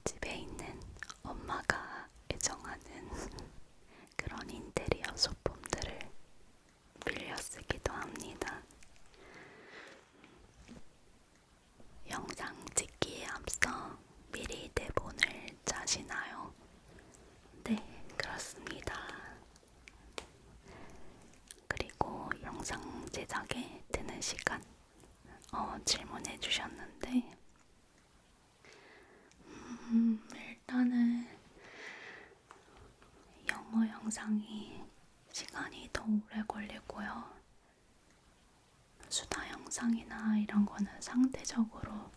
집에 있는 엄마가 애정하는 그런 인테리어 소품들을 빌려 쓰기도 합니다. 영상 찍기에 앞서 미리 대본을 짜시나요? 네, 그렇습니다. 그리고 영상 제작에 드는 시간 어, 질문해 주셨는데 음, 일단은 영어 영상이 시간이 더 오래 걸리고요. 수다 영상이나 이런 거는 상대적으로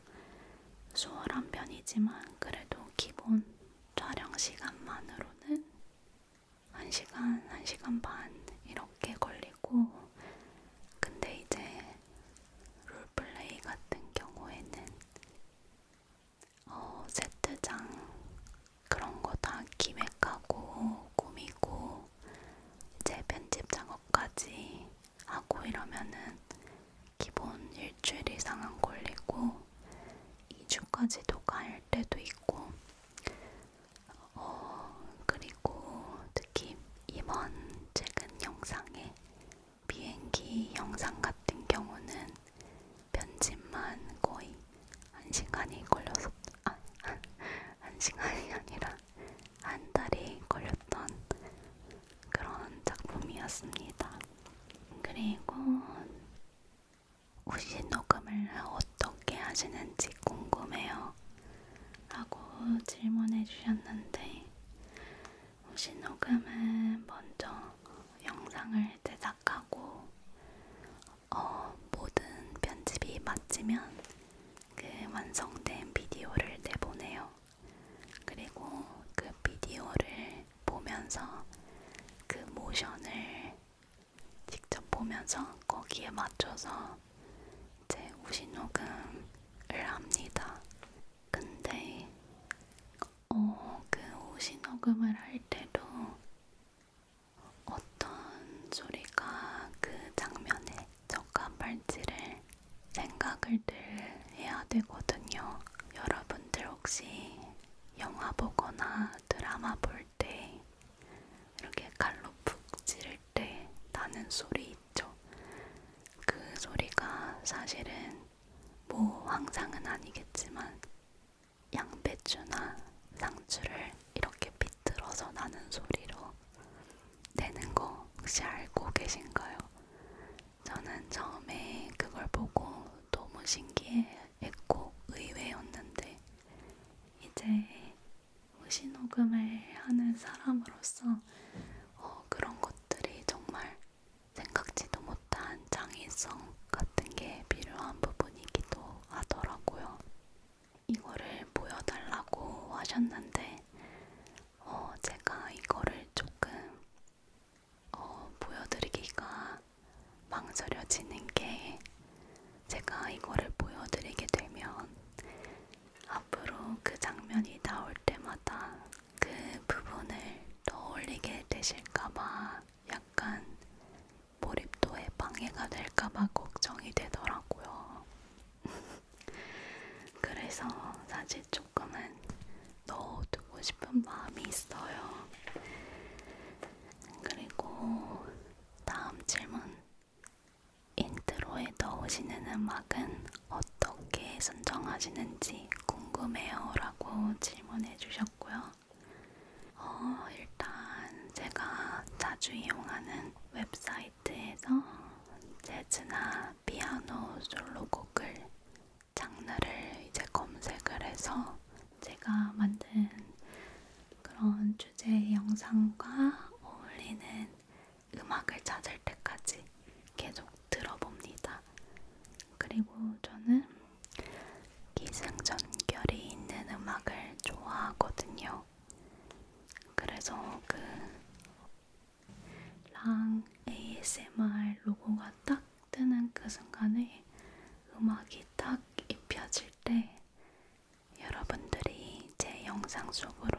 수월한 편이지만 그래도 기본 촬영 시간만으로는 1시간, 1시간 반 이렇게 걸리고 근데 이제 롤플레이 같은 경우에는 어, 세트장 그런 거 다 기획하고 꾸미고 이제 편집 작업까지 하고 이러면은 기본 일주일 이상 안 걸리고 2주까지도 갈 때도 있고 어, 그리고 특히 이번 최근 영상에 비행기 영상 같은 경우는 편집만 거의 1시간이 걸렸었, 아, 1시간이 아니라 한 달이 걸렸던 그런 작품이었습니다. 그리고 혹시 녹음을 어떻게 하시는지 궁금해요. 라고 질문해 주셨는데 혹시 녹음은 먼저 영상을 제작하고 어, 모든 편집이 마치면 그 완성된 비디오를 내보내요. 그리고 그 비디오를 보면서 그 모션을 직접 보면서 거기에 맞춰서 이제 우신녹음을 합니다. 근데 어, 그 우신녹음을 할 때도 어떤 소리가 그 장면에 적합할지를 생각을 늘 해야 되거든요. 여러분들 혹시 영화 보거나 드라마 볼 때 이렇게 칼로 푹 찌를 때 나는 소리 있죠. 그 소리가 사실은 뭐 황상은 아니겠지만 양배추나 상추를 이렇게 비틀어서 나는 소리로 내는 거 혹시 알고 계신가요? 저는 처음에 그걸 보고 너무 신기했고 의외였는데 이제 호시녹음을 하는 사람으로서 어, 그런 것들이 정말 생각지도 못한 창의성 같은 게 필요한 부분이기도 하더라고요. 이거를 보여달라고 하셨는데 어, 제가 이거를 조금 어, 보여드리기가 망설여지는 게 제가 이거를 보여드리게 되면 앞으로 그 장면이 나올 때마다 그 부분을 떠올리게 되실까봐 약간 몰입도에 방해가 될까봐 걱정이 되더라고요. 그래서 사실 좀 조금은 넣어두고 싶은 마음이 있어요. 그리고 다음 질문. 인트로에 넣으시는 음악은 어떻게 선정하시는지 궁금해요. 라고 질문해 주셨고요. 어, 일단 제가 자주 이용하는 웹사이트에서 재즈나 피아노 솔로곡을 장르를 이제 검색을 해서 제가 만든 그런 주제 영상과 어울리는 음악을 찾을 때까지 계속 들어봅니다. 그리고 저는 기승전결이 있는 음악을 좋아하거든요. 그래서 그랑 ASMR 로고가 딱 뜨는 그 순간에 음악이 딱 입혀질 때 여러분들이 제 영상 속으로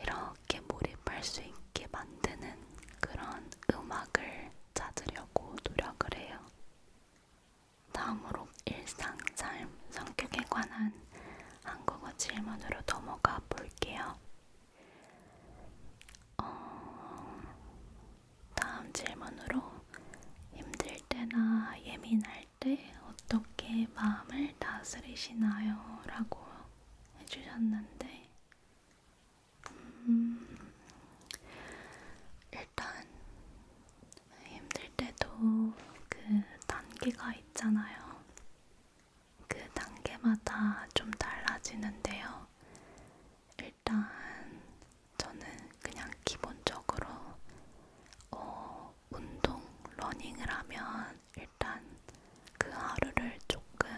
이렇게 몰입할 수 있게 만드는 그런 음악을 찾으려고 노력을 해요. 다음으로 일상, 삶, 성격에 관한 한국어 질문으로 넘어가 볼게요. 어, 다음 질문으로 힘들 때나 예민할 때 어떻게 마음을 다스리시나요? 라고 해주셨는데, 음, 일단 힘들 때도 그 단계가 있잖아요. 그 단계마다 좀 달라지는데요. 일단 저는 그냥 기본적으로 어, 운동, 러닝을 하면 일단 그 하루를 조금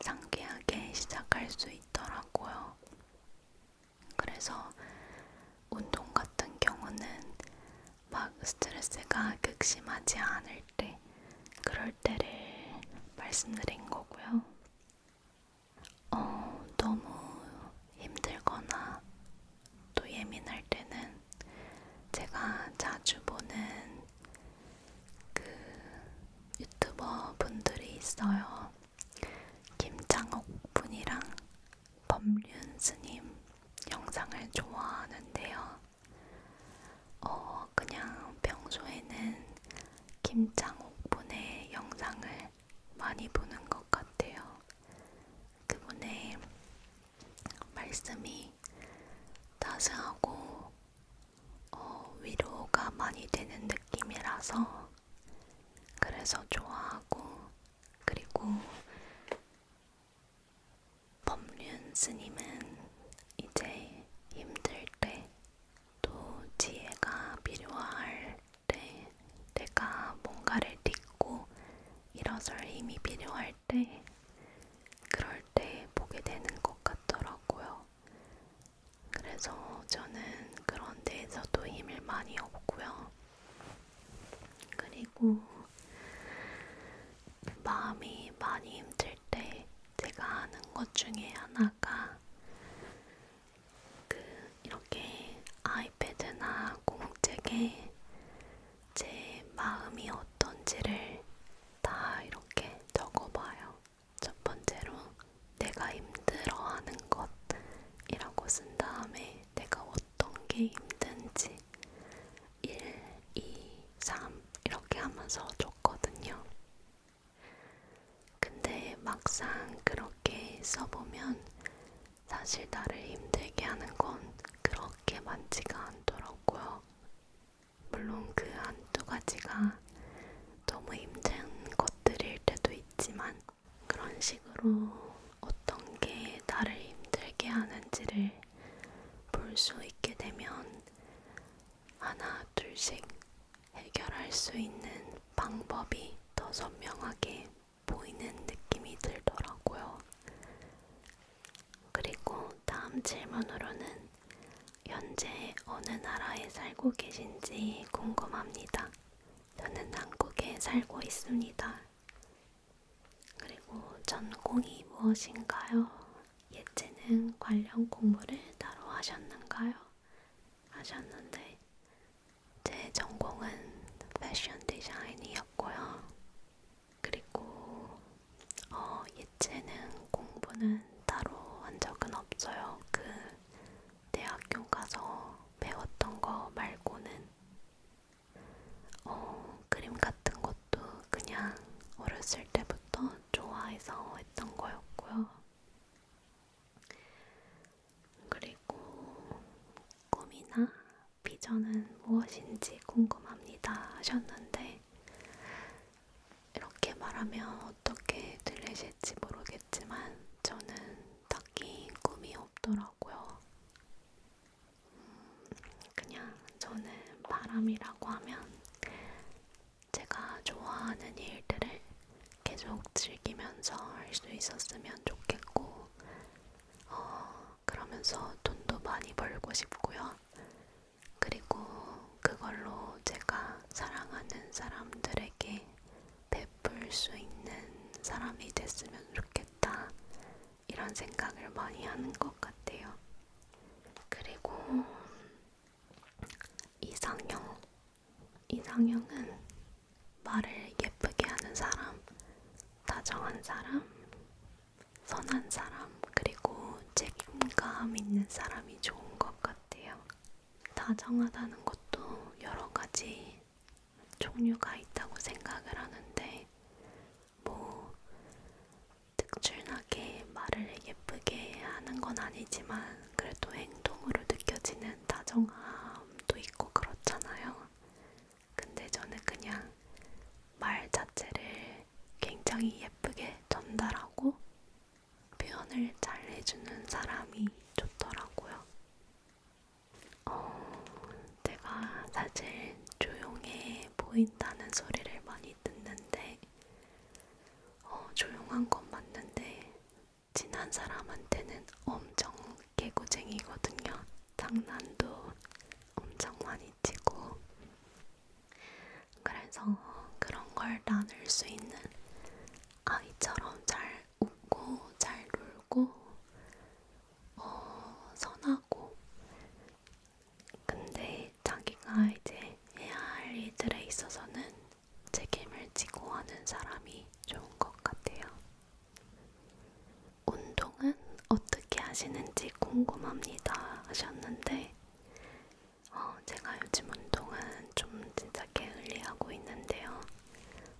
상쾌하게 시작할 수 있더라고요. 그래서 운동 같은 경우는 막 스트레스가 극심하지 않을 때 그럴 할 때를 말씀드린 거고요. 어, 너무 힘들거나 또 예민할 때는 제가 자주 보는 그 유튜버 분들이 있어요. 김창옥 분이랑 범륜 스님 영상을 좋아하는데요. 어, 그냥 평소에는 김창옥분의 영상을 많이 보는 것 같아요. 그분의 말씀이 따스하고 어, 위로가 많이 되는 느낌이라서 그래서 좋아하고 그리고 법륜 스님은 이제 힘들 때또 지혜가 필요할 때, 내가 뭔가를 딛고 일어설 힘이 필요할 때, 그럴 때 보게 되는 것 같더라고요. 그래서 저는 그런 데에서도 힘을 많이 얻고요. 그리고 마음이 많이 힘들 만들 때 제가 하는 것 중에 하나가 그 이렇게 아이패드나 공책에 제 마음이 어떤지를 다 이렇게 적어봐요. 첫 번째로 내가 힘들어하는 것이라고 쓴 다음에 내가 어떤 게 힘든지 1, 2, 3 이렇게 하면서 줬거든요. 근데 막상 그렇게 써보면 사실 나를 힘들게 하는 건 그렇게 많지가 않더라고요. 물론 그 한두 가지가 너무 힘든 것들일 때도 있지만 그런 식으로 어떤 게 나를 힘들게 하는지를 볼 수 있게 되면 하나 둘씩 해결할 수 있는 방법이 더 선명하게 보이는 느낌이 들더라고요. 그리고 다음 질문으로는 현재 어느 나라에 살고 계신지 궁금합니다. 저는 한국에 살고 있습니다. 그리고 전공이 무엇인가요? 예체능 관련 공부를 따로 하셨는가요? 하셨는데 제 전공은 패션 디자인이었고요. 그리고 어, 예체능 공부는 따로 한 적은 없어요. 그 대학교 가서 배웠던 거 말고는 어, 그림 같은 것도 그냥 어렸을 때부터 좋아해서 했던 거였고요. 그리고 꿈이나 비전은 무엇인지 궁금합니다 하셨는데 이렇게 말하면 어떻게 들리실지 모르겠지만 저는 딱히 꿈이 없더라고요. 음, 그냥 저는 바람이라고 하면 제가 좋아하는 일들을 계속 즐기면서 할 수 있었으면 좋겠고, 어, 그러면서 돈도 많이 벌고 싶고요. 그리고 그걸로 제가 사랑하는 사람들에게 베풀 수 있는 사람이 됐으면 좋겠다. 이런 생각을 많이 하는 것 같아요. 그리고 이상형. 이상형은 말을 예쁘게 하는 사람, 다정한 사람, 선한 사람, 그리고 책임감 있는 사람이 좋은 것 같아요. 다정하다는 것도 여러 가지 종류가 있다고 생각을 하는데, 뭐 특출나게 말을 예쁘게 하는 건 아니지만 그래도 행동으로 느껴지는 다정함도 있고 그렇잖아요. 근데 저는 그냥 말 자체를 굉장히 예쁘게 전달하고 표현을 잘 해주는 사람이 좋더라고요. 어, 제가 사실 조용해 보인다는 소리를 많이 듣는데 어, 조용한 건 맞는데 친한 사람한테는 엄청 개구쟁이거든요. 장난도 엄청 많이 치고 그래서 그런 걸 나눌 수 있는 아이처럼 잘 웃고 잘 놀고 어, 선하고 근데 자기가 이제 해야 할 일들에 있어서는 책임을 지고 하는 사람이 좋은 것 같아요. 운동은 어떻게 하시는지 궁금합니다 하셨는데 어, 제가 요즘 운동은 좀 진짜 게을리 하고 있는데요.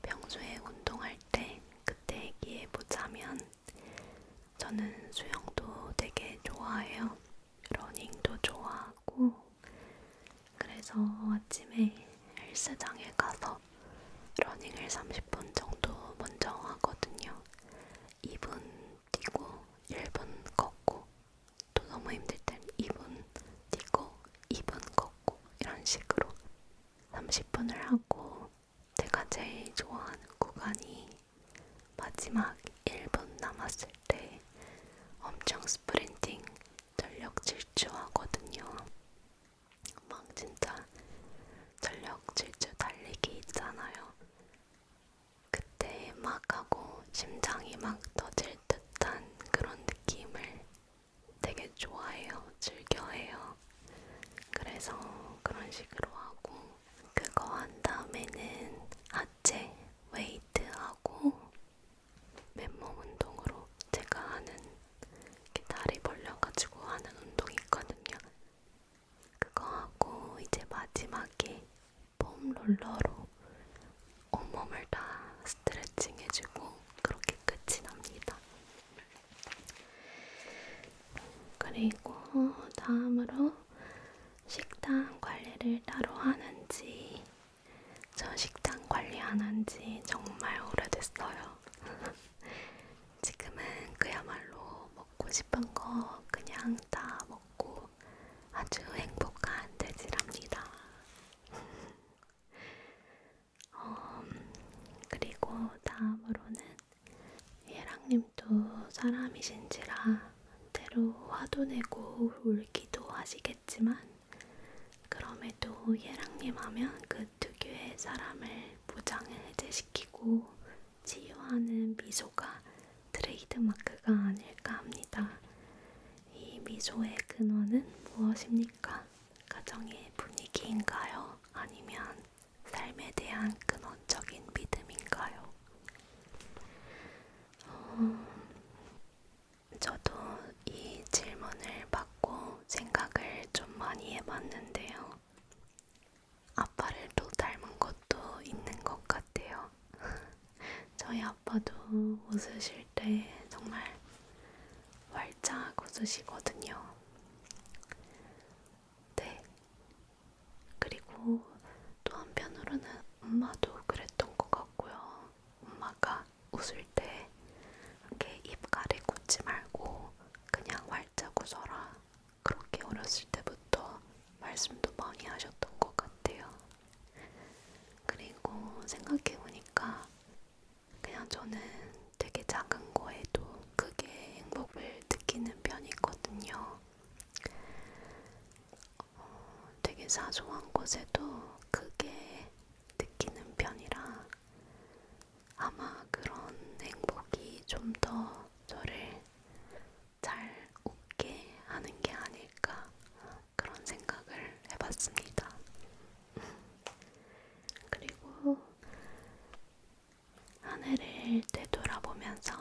평소에 운동할 때 그때 얘기해 보자면 저는 수영도 되게 좋아해요. 러닝도 좋아하고 그래서 아침에 헬스장에 가서 러닝을 30분 정도 먼저 하거든요. 2분 뛰고 1분 걷고 또 너무 힘들 땐 2분 뛰고 2분 걷고 이런 식으로 30분을 하고 제가 제일 좋아하는 구간이 마지막 1분 남았을 때 엄청 스프린팅 전력 질주하거든요. 막 진짜 전력 질주 달리기 있잖아요. 그때 막 하고 심장이 막 터질 듯한 그런 느낌을 되게 좋아해요. 즐겨해요. 그래서 그런 식으로 하고 그거 한 다음에는 하체 웨이트하고 맨몸 운동으로 제가 하는 이렇게 다리 벌려가지고 하는 운동이 있거든요. 그거 하고 이제 마지막에 폼 롤러로 온몸을 다 스트레칭 해주고 그렇게 끝이 납니다. 그리고 다음으로 식단 관리를 따로 하는지 저 식단 관리 안 한 지 정말 오래됐어요. 지금은 그야말로 먹고 싶은 거 그냥 다 먹고 아주 행복한 돼지랍니다. 어, 그리고 다음으로는 예랑님도 사람이신지라 때로 화도 내고 울기도 하시겠 않겠지만 그럼에도 예랑님 하면 그두 개의 사람을 무장을 해제시키고 치유하는 미소가 트레이드마크가 아닐까 합니다. 이 미소의 근원은 무엇입니까? 가정의 분위기인가요? 아니면 삶에 대한 근원적인 믿음인가요? 어, 저도 이 질문을 받고 생각을 좀 많이 해봤는데요. 아빠를 또 닮은 것도 있는 것 같아요. 저희 아빠도 웃으실 때 정말 활짝 웃으시거든요. 네. 그리고 또 한편으로는 엄마도 그랬던 것 같고요. 엄마가 웃을 때 이렇게 입 가리고 웃지 말고 그냥 활짝 웃어라. 그렇게 어렸을 때부터 말씀도 많이 하셨던 것 같아요. 그리고 생각해보니까 그냥 저는 되게 작은 거에도 크게 행복을 느끼는 편이거든요. 어, 되게 사소한 것에도 크게 느끼는 편이라 아마 그런 행복이 좀 더 저를 잘 웃게 하는 게 아닐까 그런 생각을 해봤습니다. 그리고 한 해를 되돌아보면서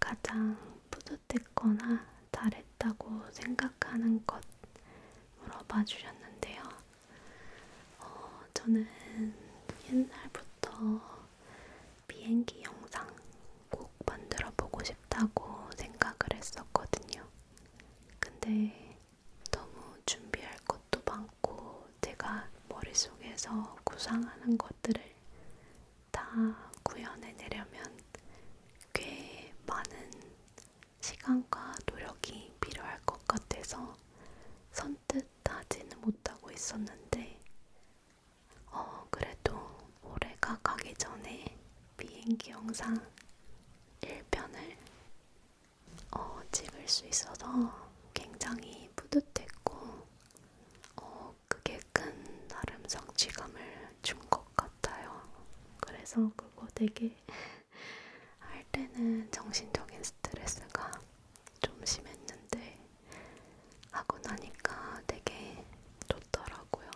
가장 뿌듯 잘못했거나 잘했다고 생각하는 것 물어봐 주셨는데요. 어, 저는 옛날부터 비행기 영상 꼭 만들어 보고 싶다고 생각을 했었거든요. 근데 너무 준비할 것도 많고 제가 머릿속에서 구상하는 것들을 다 구현해내려면 꽤 많은 시간과 노력이 필요할 것 같아서 선뜻 하지는 못하고 있었는데, 어, 그래도 올해가 가기 전에 비행기 영상 1편을 어, 찍을 수 있어서 굉장히 뿌듯했고, 어, 그게 큰 나름 성취감을 준것 것 같아요. 그래서 그거 되게 할 때는 정신적인 스트레스가 좀 심했는데 하고 나니까 되게 좋더라고요.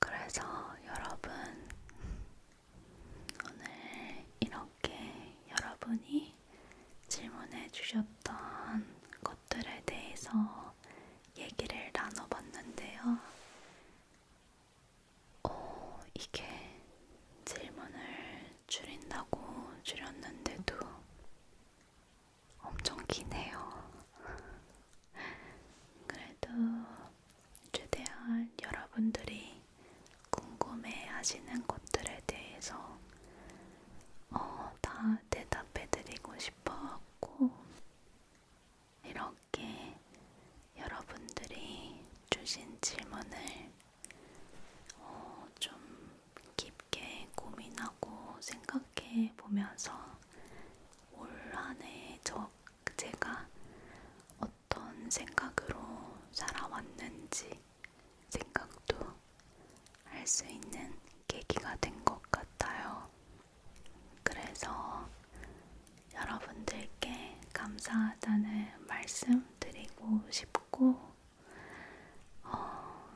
그래서 여러분 오늘 이렇게 여러분이 질문해 주셨던 것들에 대해서 얘기를 나눠봤는데요. 어, 이게 질문을 줄인다고 줄였는데도 엄청 기네요. 그래도 최대한 여러분들이 궁금해 하시는 것들에 대해서 어, 다 대답해 드리고 싶어 갖고 이렇게 여러분들이 주신 질문을 어, 좀 깊게 고민하고 생각해 보면서 올 한해 제가 어떤 생각으로 살아왔는지 생각도 할 수 있는 계기가 된 것 같아요. 그래서 여러분들께 감사하다는 말씀 드리고 싶고, 어,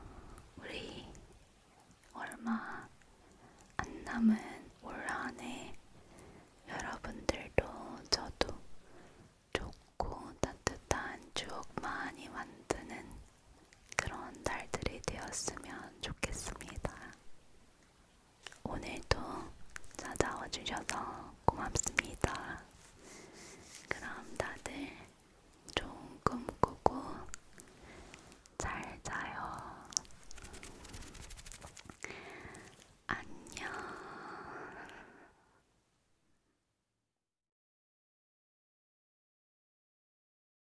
우리 얼마 안 남은 올 한해 여러분들도 저도 좋고 따뜻한 추억 많이 만드는 그런 날들이 되었으면 좋겠습니다. 오늘도 찾아와 주셔서 고맙습니다. 그럼 다들 좋은 꿈 꾸고 잘 자요. 안녕.